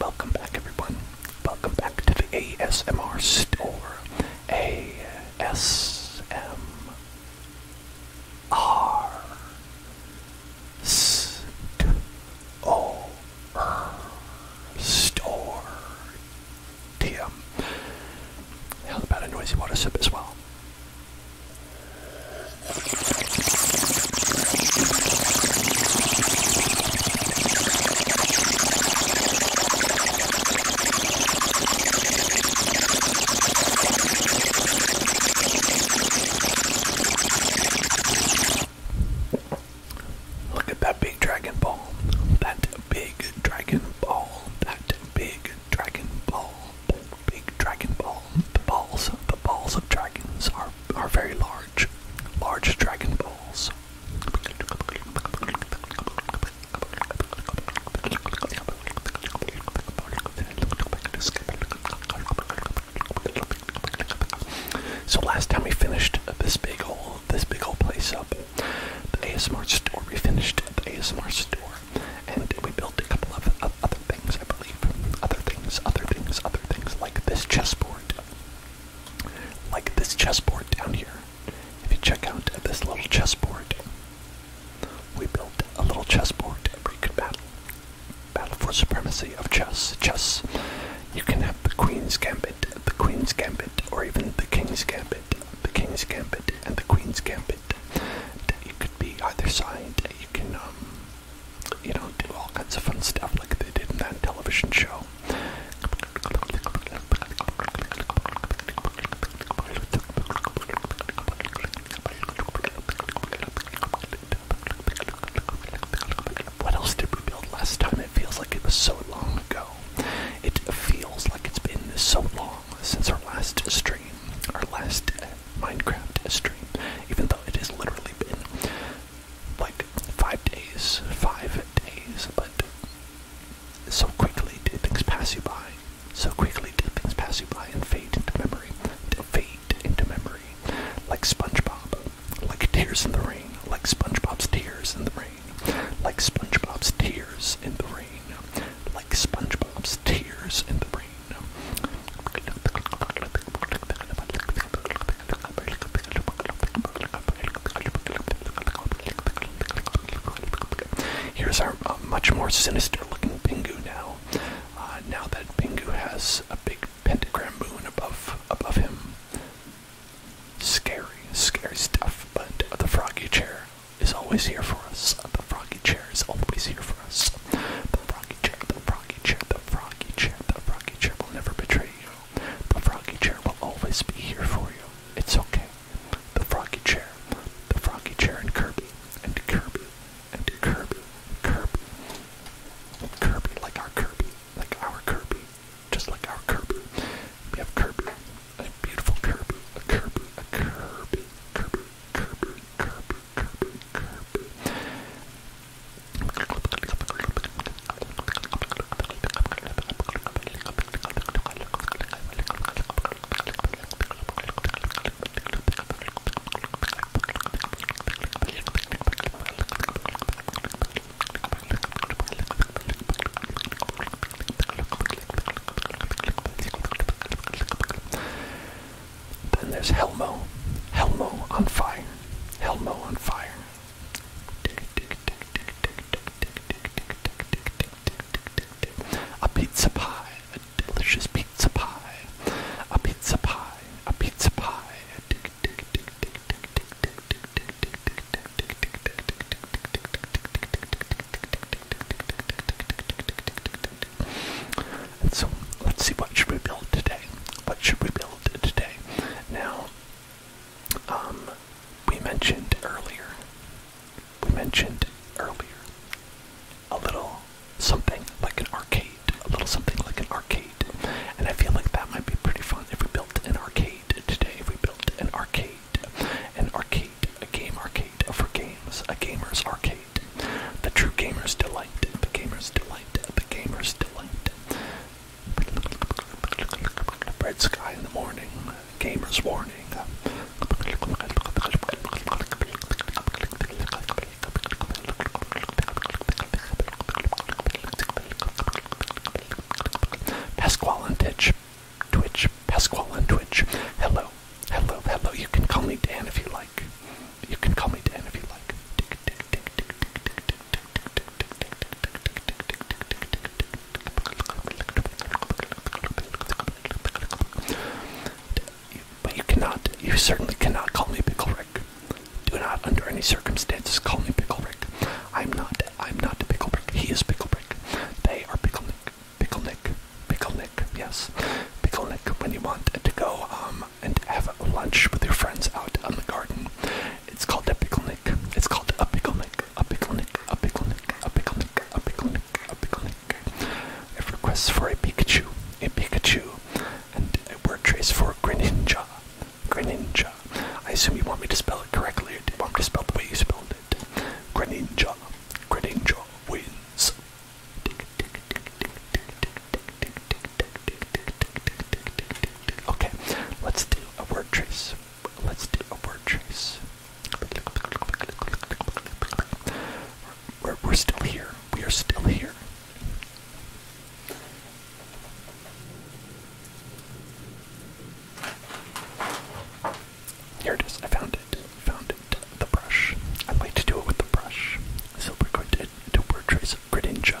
Welcome back, everyone. Welcome back to the ASMR store. ASMR store. Store. TM. How about a noisy water sip as well? Look at that big dragon ball. That big dragon ball. That big dragon ball. That big dragon ball. The balls, the balls of dragons are are very large, large Dragon Balls. So last time we finished this big old this big old place up, the ASMR store. We finished the ASMR store, and we built a couple of, of other things, I believe. Other things, other things, other things like this chessboard. Like this chessboard down here. If you check out this little chessboard, we built a little chessboard where you could battle. Battle for supremacy of chess. Chess. You can have the queen's gambit, the queen's gambit, or even the king's gambit, the king's gambit, and the queen's gambit. You could be either side. You can um, you know, do all kinds of fun stuff like they did in that television show. What else did we build last time? It feels like it was so long ago. It feels like it's been so long since our last stream, our last uh, Minecraft stream, even though it has literally been like five days, five days, but so quickly did things pass you by. So quickly did things pass you by and fade into memory, fade into memory, like SpongeBob, like tears in the rain, like SpongeBob's tears in the rain, like SpongeBob's tears in the rain, like SpongeBob's tears in the rain. Here's our uh, much more sinister looking Pingu now. Uh, now that Pingu has a big pentagram moon above above him. Scary, scary stuff, but the froggy chair is always here for us. the froggy chair is always here for us froggy chair, the froggy chair, the froggy chair, the froggy chair will never betray you. The froggy chair will always be here for you. It's okay. The froggy chair, the froggy chair, and Kirby, and Kirby, and Kirby, Kirby, Kirby, like our Kirby, like our Kirby, just like our Kirby. We have Kirby, a beautiful Kirby, a Kirby, a Kirby, Kirby, Kirby, Kirby, Kirby. Then there's Helmo, Helmo on fire. Helmo on fire. A pizza pie, a delicious pizza pie. A pizza pie, a pizza pie. And so let's see what should we build today what should we build today? Now, um, we mentioned earlier, we mentioned earlier a little something like an arcade, a little something like an arcade, and I feel like that might be pretty fun if we built an arcade today. If we built an arcade, an arcade, a game arcade for games, a gamer's arcade, the true gamer's delight, the gamer's delight, the gamer's delight. Red sky in the morning, gamer's warning. Pasquale on Twitch, Twitch, Pasquale on Twitch. Hello, hello, hello. You can call me Dan if you like. You can call me Dan if you like. But you cannot, you certainly cannot call me Pickle Rick. Do not, under any circumstances, call me Pickle Rick. I'm not, I'm not Pickle Rick. He is Pickle Rick. They are Pickle Nick. Pickle Nick. Pickle Nick, yes. Pickle Nick, when you want to go um, and have lunch with your friends out on the garden. It's called a picnic. It's called a picnic. A picnic. A picnic. A picnic. A picnic. A picnic. It requests for a Pikachu. A Pikachu. And a word trace for Greninja. Greninja. I assume you want me to spell it correctly or do you want me to spell the way you spelled it? Greninja. Greninja wins. Tick, tick, tick, tick, tick, tick, tick, tick, tick, tick, Okay, let's do a word trace. Let's do a word trace. We're, still here. We are still here. Here it is. I found it. Found it. The brush. I like to do it with the brush. So we're going to do a word trace of Greninja.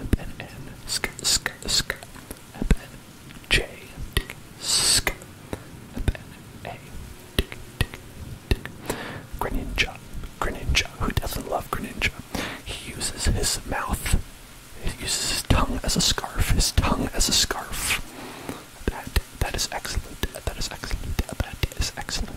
Up and N, sk, sk, sk, up and J, tick, sk, up and A, tick, tick, tick. Greninja, Greninja, who doesn't love Greninja? He uses his mouth, he uses his tongue as a scarf, his tongue as a scarf. That, that is excellent, that is excellent, that is excellent.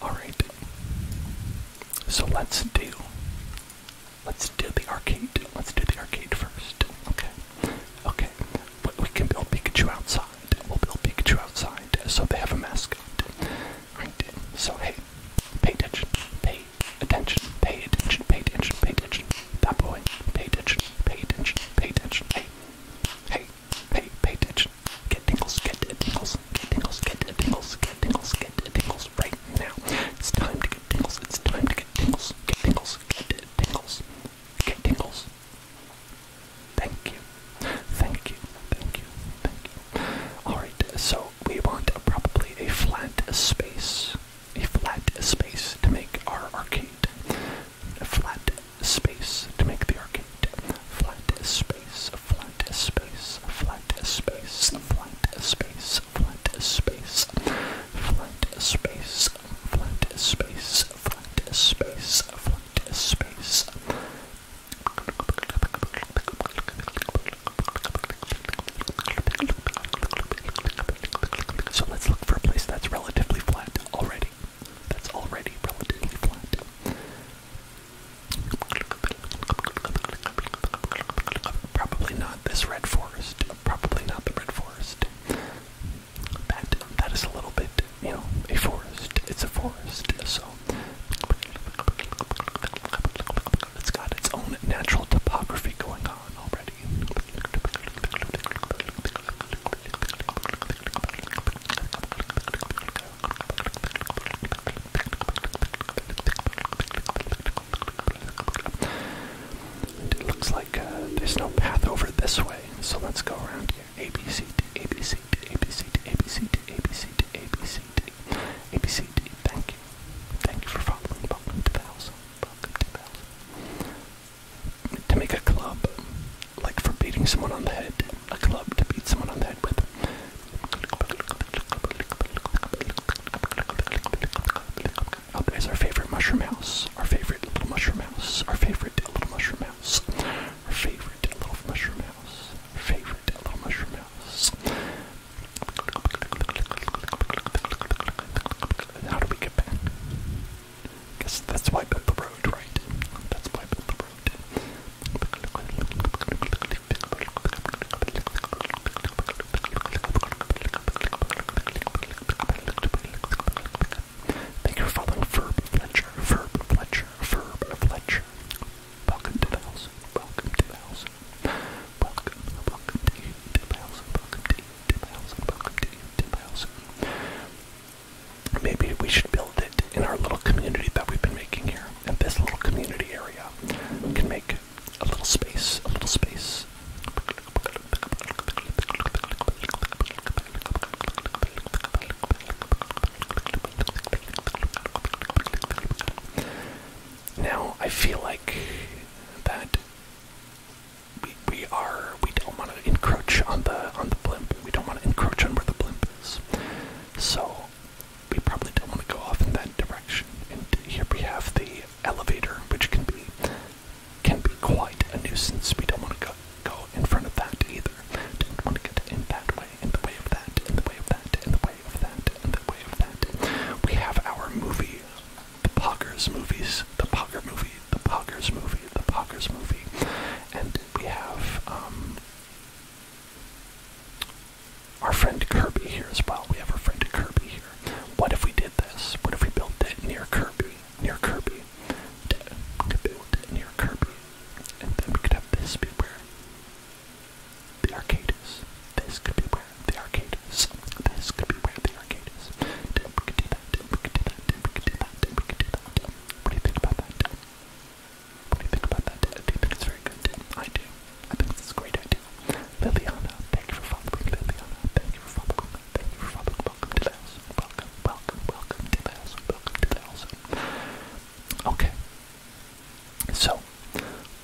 Alright. So let's do let's do the arcade. Let's do the arcade first. Okay. Okay. we can build Pikachu outside. We'll build Pikachu outside. So they have a mascot. So hey, pay attention. Pay attention. Pay attention. Pay attention. Pay attention. That boy. Pay attention. Pay attention. Pay attention. Hey. Hey. Pay, pay attention. Get tingles, get tingles, get tingles, get tingles, get tingles, get tingles right now. It's time to get tingles, it's time to get tingles, get tingles, get tingles, get tingles. Thank you, thank you, thank you, thank you. Alright, so we want uh, probably a flat space, a flat space to make our arcade. A flat space to make the arcade. Flat space, flat space, flat space, flat space, flat space, flat space, flat space, flat space, flat space. So let's look for a place that's relatively flat already. That's already relatively flat. Probably not this red forest. Probably not the red forest. That that is a little bit, you know, a forest. It's a forest, so it's got its own natural topography going on already. And it looks like uh, there's no path over this way, so let's go around here. A B C D A B C D A B C D A B C D A B C D A B C D A B C D. Thank you, thank you for following. Welcome to the house. Welcome to the house. To make a club, like for beating someone on the head, a club to beat someone on the head with. Oh, our favorite mushroom house, our favorite little mushroom house, our favorite little mushroom house, our favorite little mushroom house, favorite little mushroom house. How do we get back? guess that's why I built the road, right? That's why I built the road. Thank you for following Ferb Fletcher, Ferb Fletcher, Ferb Fletcher. Welcome to the house, welcome to the house. Welcome, welcome to you to the house, welcome to you to the house, welcome to you to the house maybe we should build it in our little community that we've been making here. And this little community area can make a little space, a little space. Now I feel like that we, we are we don't want to encroach on the on the blimp. We don't want to encroach on where the blimp so we probably don't want to go off in that direction. And here we have the elevator, which can be can be quite a nuisance. We don't want to go go in front of that either. Don't want to get in that way, in the way of that, in the way of that, in the way of that, We have our movie, the Poggers movies, the Pogger movie, the Poggers movie, the Poggers movie, and we have um, our friend Kirby here as well. We have our friend Kirby here. What if we did this? What if we built it near Kirby? Near Kirby. We build it near Kirby. And then we could have this be where the arcade is. This could be where the arcade is. This could be where the arcade is. we could do that. Then we could do that. Then we could do that. Then we could do that. What do you think about that? What do you think about that? Do you think it's very good? I do. I think it's a great idea. Liliana, thank you for following. Liliana, thank you for following. Thank you for following. Welcome to the Welcome, welcome, welcome to the Welcome to the Okay. So,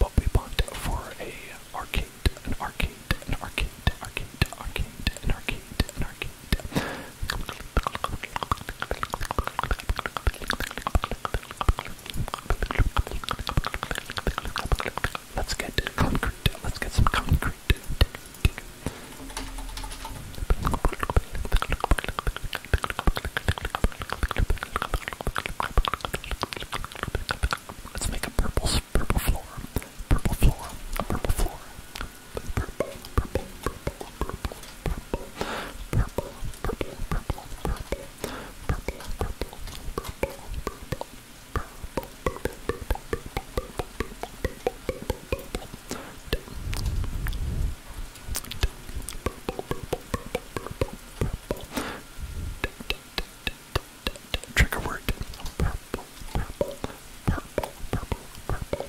what we want for a arcade, an arcade, an arcade, arcade, arcade, an arcade, an arcade. Let's get concrete. Let's get some concrete. Let's make a purple, purple floor, purple floor, a purple floor, a purple, purple, purple, purple, purple, purple, purple, purple, purple, purple, purple, purple, purple. Trigger word purple, purple, purple, purple, purple,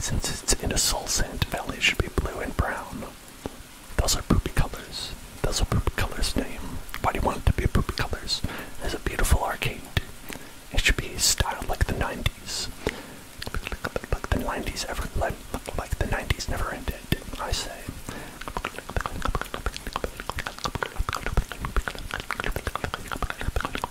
Since it's in a soul sand valley, it should be blue and brown. Those are poopy colors. Those are poopy colors' name. Why do you want it to be poopy colors? There's a beautiful arcade. It should be styled like the 90s. Like the 90s ever, like, like the 90s never ended, I say.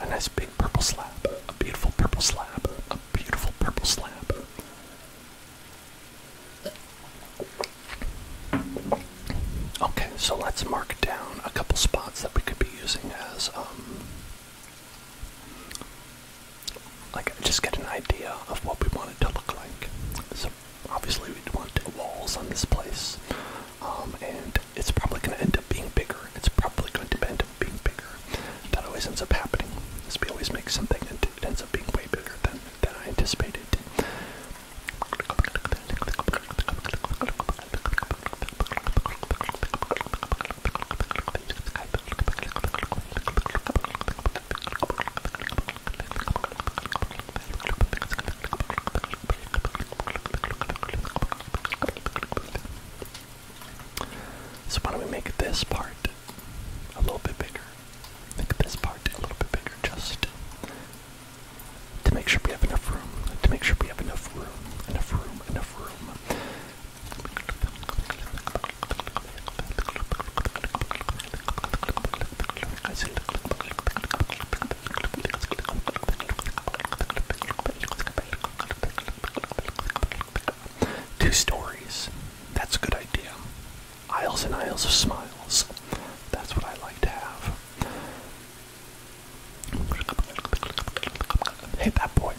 A nice big purple slab. A beautiful purple slab. A beautiful purple slab. Okay, so let's mark down a couple spots that we could be using as, um, like, just get an idea of what we want it to look like. Obviously, we'd want walls on this place, um, and it's probably going to end up being bigger. It's probably going to end up being bigger. That always ends up happening. Is we always make something and it ends up being way bigger than than I anticipated. So why don't we make this part a little bit bigger? Make this part a little bit bigger just to make sure we have enough room. To make sure we have enough room. Enough room. Enough room. I see. Two stories. That's a good idea. Aisles and aisles of smiles. That's what I like to have. Hey, that boy.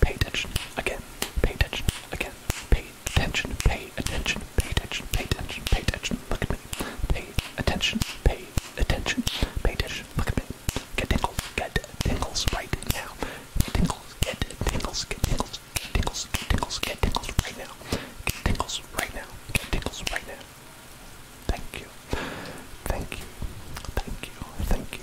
Pay attention. Again. Pay attention. Again. Pay attention. Pay attention. Pay attention. Pay attention. Pay attention. Look at me. Pay attention. Pay attention. Pay attention. Look at me. Get tingles. Get tingles right now. tingles. Get tingles. Get tingles. Get tingles. Get tingles. Get tingles right now. Get tingles right now. Get tingles right now. Thank you. Thank you. Thank you. Thank you.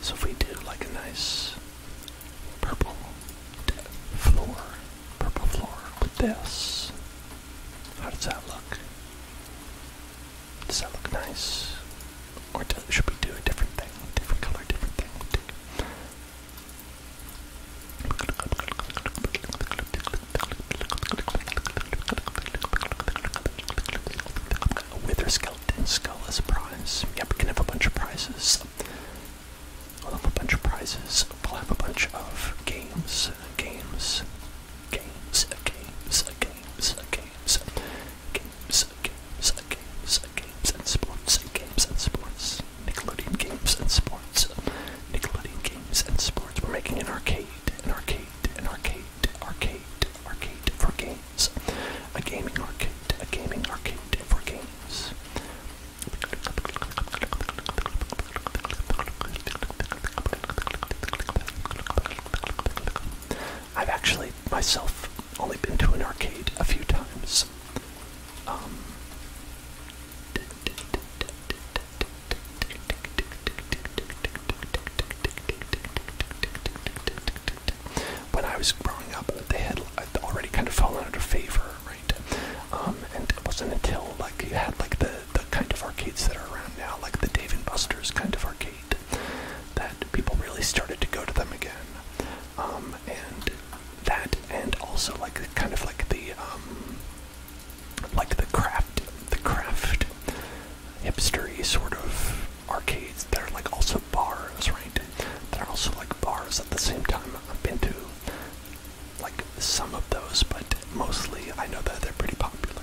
So if we do like a nice purple floor, purple floor with this, how does that look? Does that look nice? Or should we do a different thing? Different color, different thing. A wither skeleton skull as a prize. Yeah, we can have a bunch of prizes. We'll have a bunch of prizes. We'll have a bunch of games. Games games, games, games, games, games, games, games, games and sports, games and sports, Nickelodeon games and sports, Nickelodeon games and sports. We're making an arcade, an arcade, an arcade, arcade, arcade for games, a gaming arcade, a gaming arcade for games. I've actually myself only been to an arcade a few times. Um, when I was growing up, they had already kind of fallen out of favor, right? Um, and it wasn't until like you had like the the kind of arcades that are around now, like the Dave and Buster's kind of arcade that people really started to go to them again. Um, and that, and also like kind of like the um, like the craft, the craft hipstery sort of arcades that are like also bars, right? they are also like bars at the same time. I've been to like some of those, but mostly I know that they're pretty popular.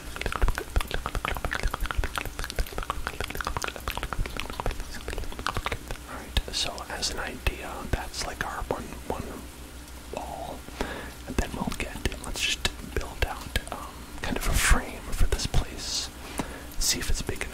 Alright, so as an idea, that's like our one one wall. And then we'll get let's just build out um, kind of a frame for this place. See if it's big enough.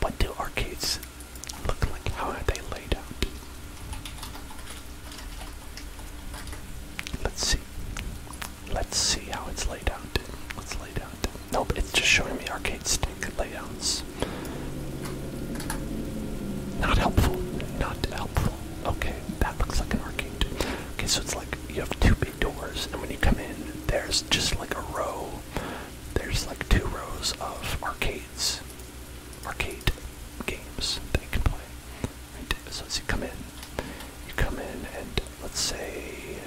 What do arcades look like? How are they laid out? Let's see. Let's see how it's laid out. What's laid out? Nope, it's just showing me arcade stick layouts. Not helpful. Not helpful. Okay, that looks like an arcade. Okay, so it's like you have two big doors, and when you come in, there's just like a row. There's like two rows of arcades. Arcade games that you can play. Right? So as you come in, you come in, and let's say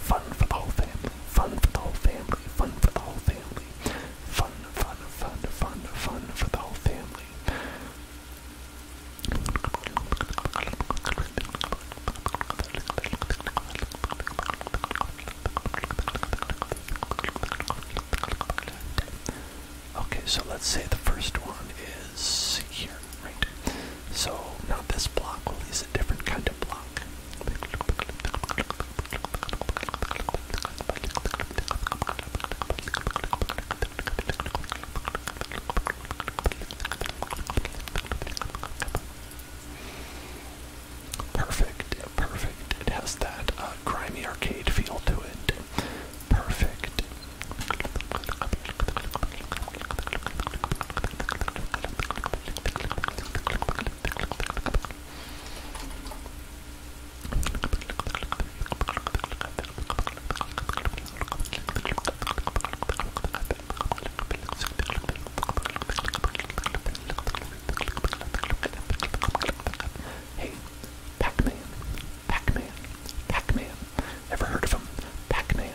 Fun for the whole family. Fun for the whole family. Fun for the whole family. Fun, fun, fun, fun, fun for the whole family. Okay, so let's say the first one is here right? So now this block will use a different kind of block. Perfect, perfect. It has that uh, grimy arcade feel to it. Perfect. Hey, Pac-Man, Pac-Man, Pac-Man. Ever heard of him? Pac-Man,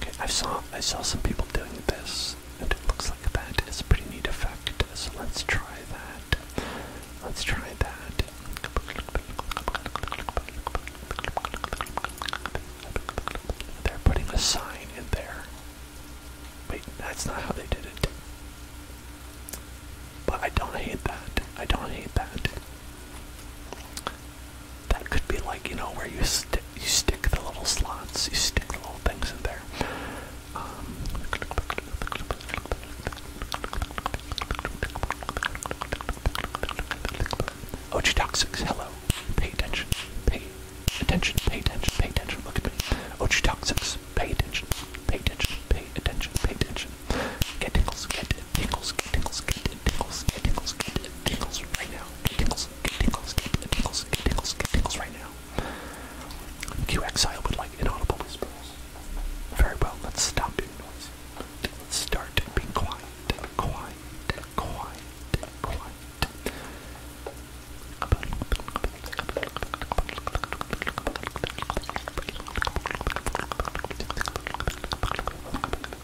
Okay, I saw I saw some people doing this, and it looks like that is a pretty neat effect. So let's try that. Let's try that. They're putting a sign in there. Wait, that's not how they did it. But I don't hate that. I don't hate that. That could be like you know where you stick you stick the little slots, you stick the little things in there. Um, Ochotoxics, hello. Pay attention. Pay attention. Pay attention. Pay attention. Look at me. Ochotoxics, pay attention. Pay attention. Pay attention. Pay attention. Get tingles. Get tingles. Get tingles. Get tingles. Get tingles. Get tingles right now now. Get tickles, get tickles, get tickles, get tickles, get tickles right now. QXI would like inaudible whispers. Very well, let's stop doing noise. Let's start being quiet, quiet, quiet, quiet.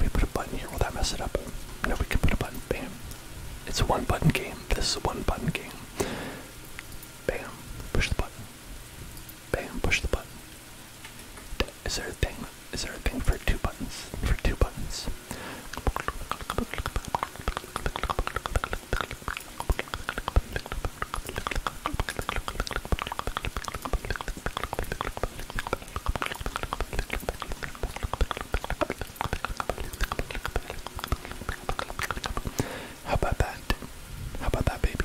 We put a button here. Will that mess it up? No, we can put a button. Bam. It's a one button game. This is a one button game. Bam, push the button. Bam, push the button. Is there a thing? Is there a thing for two buttons? For two buttons. How about that? How about that, baby?